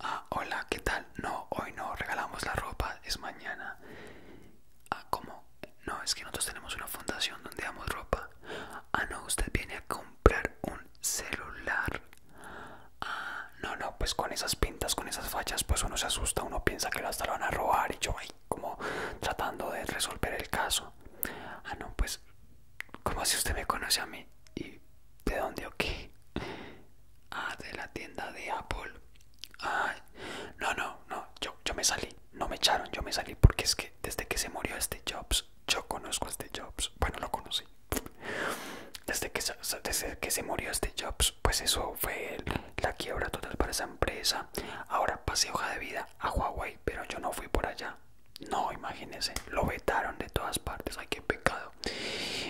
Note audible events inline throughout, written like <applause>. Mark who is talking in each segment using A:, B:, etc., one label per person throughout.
A: Ah, hola, ¿qué tal? No, hoy no regalamos la ropa, es mañana. Ah, ¿cómo? No, es que nosotros tenemos una fundación donde damos ropa. Ah, no, usted viene a comprar un celular. Ah, no, no, pues con esas pintas, con esas fachas, pues uno se asusta, uno piensa que hasta lo van a robar y yo ahí como tratando de resolver el caso. Ah, no, pues, como si usted me conoce a mí? Y ¿De dónde o qué? Ah, de la tienda de Apple. no, no, no, yo, me salí. No me echaron, yo me salí porque es que desde que se murió este Jobs, yo conozco a este Jobs. Bueno, lo conocí. Desde que, se murió este Jobs, pues eso fue la quiebra total para esa empresa. Ahora pasé hoja de vida a Huawei, pero yo no fui por allá. No, imagínese, lo vetaron de todas partes, ay, qué pecado.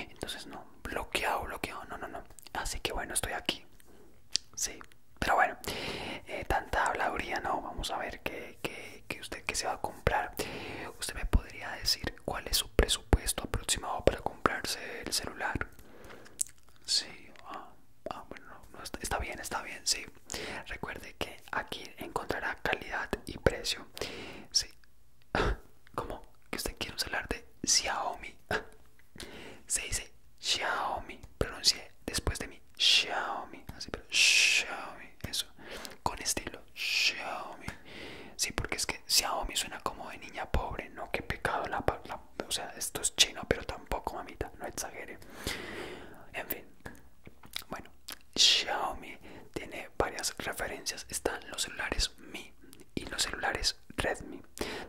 A: Entonces, no, bloqueado, bloqueado, no, no, no. Así que bueno, estoy aquí. Sí, pero bueno, eh, tanta habladuría, no, vamos a ver qué, qué usted que se va a comprar. ¿Usted me podría decir cuál es su presupuesto aproximado para comprarse el celular? Sí, ah, ah bueno, está, está bien, está bien, sí. Recuerde que aquí encontrará calidad y precio. Sí. <laughs> ¿Cómo? ¿Que usted quiere hablar de Xiaomi? <laughs> Se dice Xiaomi. pronuncié después de mí Xiaomi. Así, pero Xiaomi. Eso. Con estilo Xiaomi. Sí, porque es que Xiaomi suena como de niña pobre. No, qué pecado la, palabra. o sea, esto es chino, pero tampoco, mamita, no exagere. En fin, bueno, Xiaomi tiene varias referencias. Están los celulares Mi y los celulares Redmi.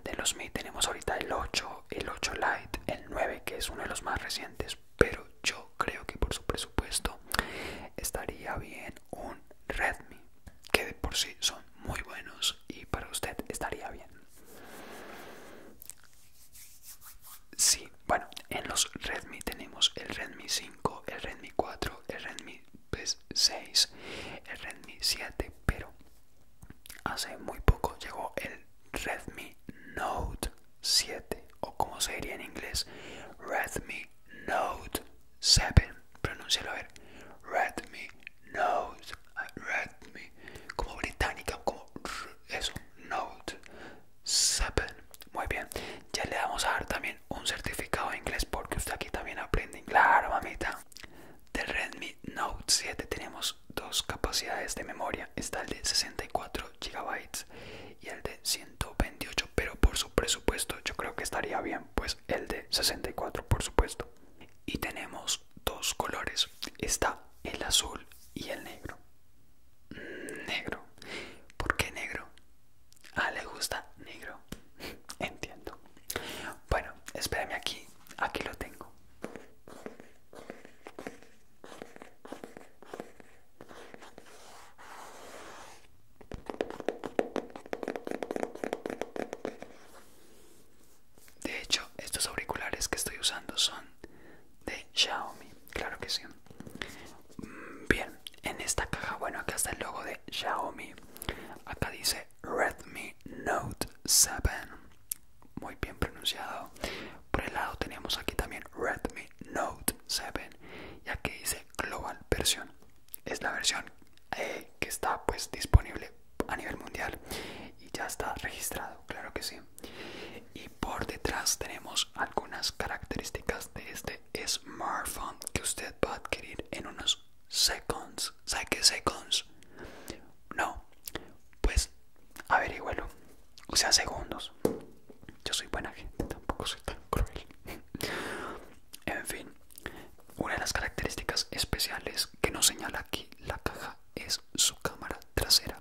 A: De los Mi tenemos ahorita el 8, el 8 Lite, el 9 que es uno de los más recientes. Pero yo creo que por su presupuesto estaría bien un Redmi, que de por sí son muy buenos y para usted estaría bien. Sí, bueno, en los Redmi tenemos el Redmi 5, el Redmi 4, el Redmi 6, pues, el Redmi 7, pero hace muy poco llegó el Redmi Note 7, o como se diría en inglés, Redmi Note 7, pronúncialo a ver, Redmi Note, Redmi, como británica, como eso, Note muy bien, ya le vamos a dar también un certificado de inglés porque usted aquí también aprende inglés. Claro, mamita. Del Redmi Note 7 tenemos dos capacidades de memoria. Está el de 64 GB y el de 128, pero por su presupuesto yo creo que estaría bien, pues el de 64 por supuesto. Y tenemos dos colores, está el azul y el negro negro. ¿Por qué negro? ¿a ah, le gusta negro. <laughs> Entiendo. Bueno, espérame aquí. Aquí lo tengo. De hecho, estos auriculares que estoy usando son de Xiaomi, claro que sí. Mm, bien, en esta caja, bueno, acá está el logo de Xiaomi. Acá dice Redmi Note 7, muy bien pronunciado. Por el lado tenemos aquí también Redmi Note 7 y aquí dice Global Versión. Es la versión eh, que está pues disponible a nivel mundial y ya está registrado, claro que sí. Y por detrás tenemos algunas características de este smartphone que usted va a adquirir en unos seconds. ¿Sabe qué seconds? No, pues averigüelo O sea, segundos. Yo soy buena gente, tampoco soy tan cruel. <laughs> en fin, una de las características especiales que nos señala aquí la caja es su cámara trasera.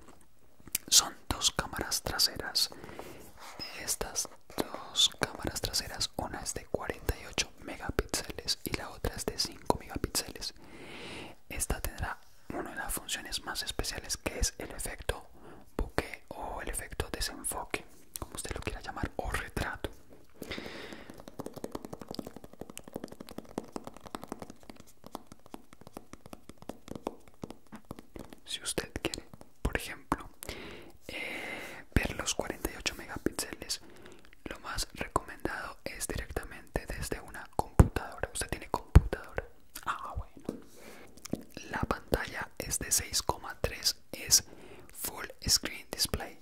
A: Son dos cámaras traseras. Estas dos cámaras traseras, una es de 48 megapíxeles y la otra es de 5 megapíxeles. Esta tendrá una de las funciones más especiales que es el efecto buque o el efecto desenfoque, como usted lo quiera llamar, o retrato. Si usted quiere, por ejemplo, eh, ver los 48 megapíxeles, lo más recomendado es directamente desde una computadora. Usted tiene computadora. Ah, bueno. La pantalla es de 6,3, es Full Screen Display.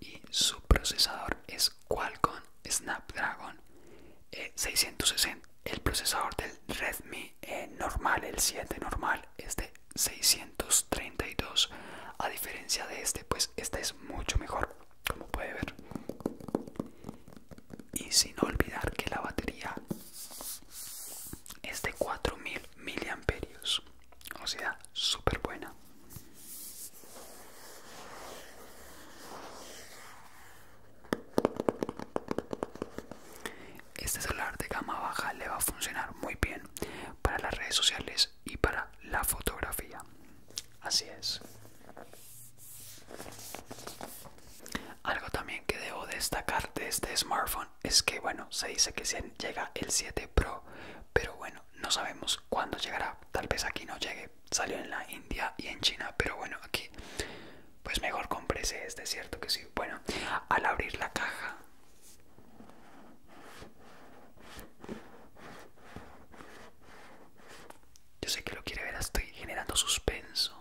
A: Y su procesador es Qualcomm Snapdragon 660. Eh, el procesador del Redmi eh, normal, el 7 normal, es de 632. A diferencia de este, pues este es mucho mejor, como puede ver. Y sin olvidar que la batería es de 4000 mAh, o sea, súper buena. Este celular de gama baja le va a funcionar muy bien para las redes sociales y para la fotografía. Así es. Algo también que debo destacar de este smartphone es que bueno, se dice que llega el 7 Pro, pero bueno, no sabemos cuándo llegará, tal vez aquí no llegue, salió en la India y en China, pero bueno, aquí pues mejor comprese este, cierto que sí. Bueno, al abrir la caja yo sé que lo quiere ver, estoy generando suspenso.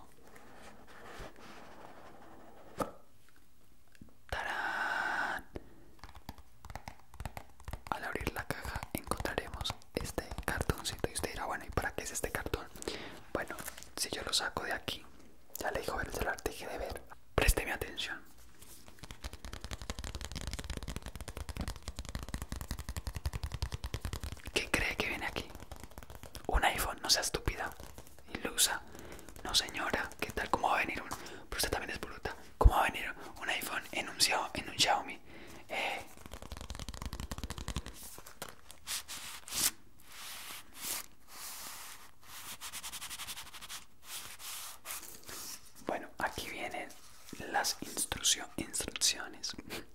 A: Al abrir la caja encontraremos este cartoncito y usted dirá, bueno, ¿y para qué es este cartón? Bueno, si yo lo saco de aquí, ya le dijo el celular, de ver. mi atención. ¿Qué cree que viene aquí? Un iPhone, no sea estúpida, ilusa. No señora, ¿qué tal? ¿Cómo va a venir uno? Pero usted también es bruta cómo va a venir un iPhone en un, un Xiaomi. Eh. Bueno, aquí vienen las instrucciones. <laughs>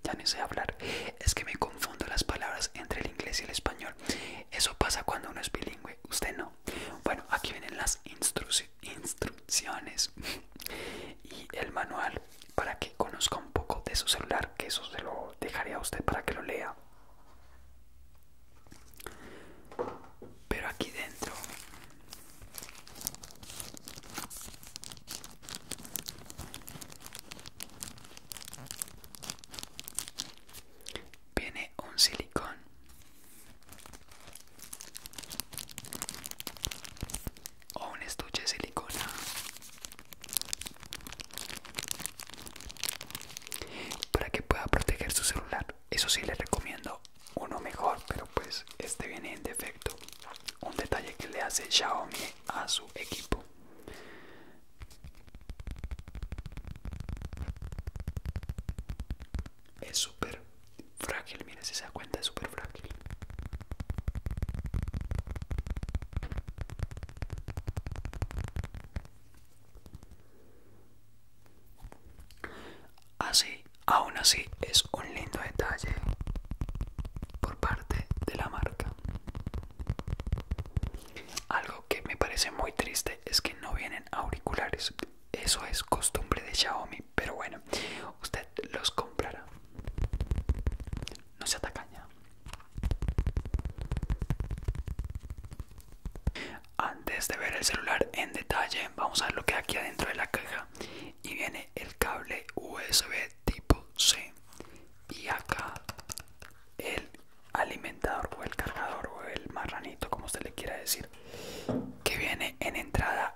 A: Ya no sé hablar. Es que me confundo las palabras entre el inglés y el español. Eso pasa cuando uno es bilingüe. Usted no. Bueno, aquí vienen las instrucciones instrucciones y el manual para que conozca un poco de su celular, que eso se lo dejaré a usted para que lo lea. Pero aquí dentro viene un silicón o un estuche de silicona para que pueda proteger su celular eso sí le recomiendo uno mejor pero pues este viene en defecto un detalle que le hace Xiaomi a su equipo es súper frágil, miren si se da cuenta, es súper frágil. Así, aún así, es un lindo detalle por parte de la marca. Algo que me parece muy triste es que no vienen auriculares. Eso es costumbre de Xiaomi, pero bueno, usted los comprará. No se atacaña. Antes de ver el celular en detalle, vamos a ver lo que hay aquí adentro de la caja. Y viene el cable USB tipo C. Y acá el alimentador o el cargador o el marranito como usted le quiera decir que viene en entrada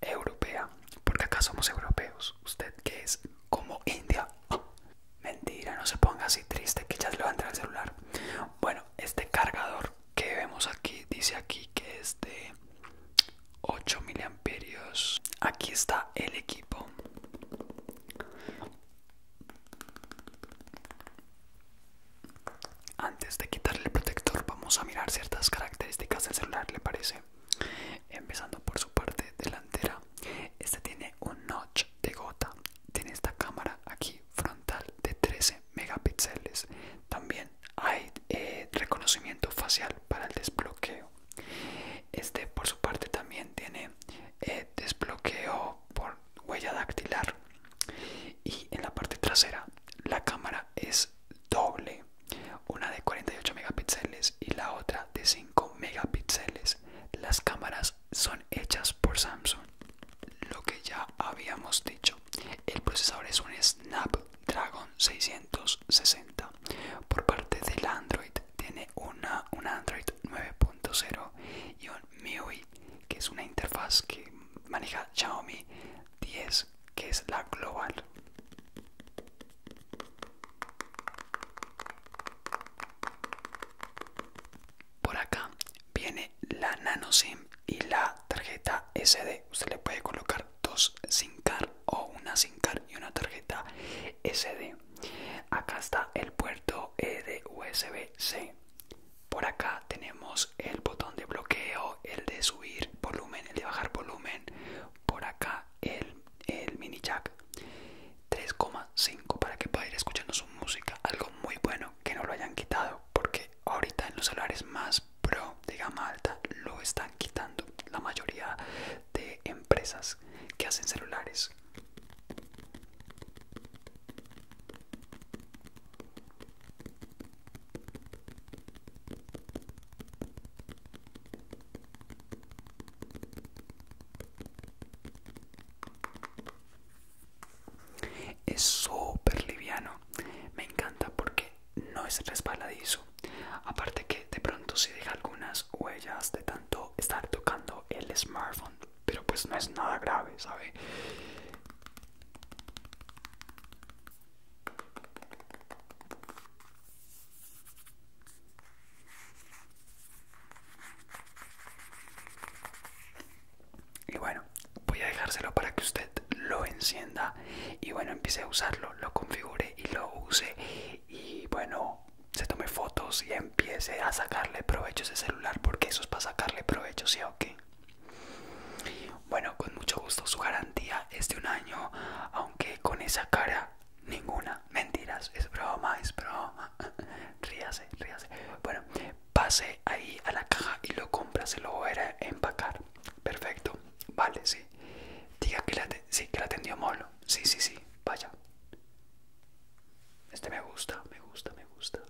A: europea porque acá somos europeos usted que es como india mentira no se ponga así triste que ya se le va a entrar el celular bueno este cargador que vemos aquí dice aquí que es de 8 miliamperios aquí está el equipo antes de quitarle el protector vamos a mirar ciertas características del celular, ¿le parece? Empezando por su parte delantera. Este tiene un notch de gota. Tiene esta cámara aquí frontal de 13 megapíxeles. También hay eh, reconocimiento facial para el desbloqueo. Este por su parte también tiene eh, desbloqueo por huella dactilar y en la parte trasera la cámara es doble una de 48 megapíxeles y la otra de 5 megapíxeles las cámaras son hechas por Samsung lo que ya habíamos dicho el procesador es un Snapdragon 660 por parte del Android tiene una, una Android 9.0 y un MIUI, que es una interfaz que maneja Xiaomi 10, que es la global. Por acá viene la nano SIM y la tarjeta SD. Usted le puede colocar dos SIM card o una SIM card y una tarjeta SD acá está el puerto eh, de USB-C por acá tenemos el botón de bloqueo el de subir volumen el de bajar volumen por acá el, el mini jack 3,5 para que pueda ir escuchando su música algo muy bueno que no lo hayan quitado porque ahorita en los celulares más pro de gama alta lo están quitando la mayoría de empresas que hacen celulares es súper liviano, me encanta porque no es resbaladizo. Aparte que de pronto si deja algunas huellas de tanto estar tocando el smartphone, pero pues no es nada grave, ¿sabe? Y bueno, voy a dejárselo para que usted lo encienda y bueno, empiece a usarlo, lo configure y lo use y bueno se tome fotos y empiece a sacarle provecho ese celular porque eso es para sacarle provecho, ¿sí o qué? Bueno, con mucho gusto, su garantía es de un año, aunque con esa cara ninguna. Mentiras, es broma, es broma. <laughs> ríase, ríase. Bueno, pase ahí a la caja y lo compra, se lo voy a empacar. Perfecto, vale, sí. Diga que la, sí, que la atendió Molo sí, sí, sí, vaya. Este me gusta, me gusta, me gusta.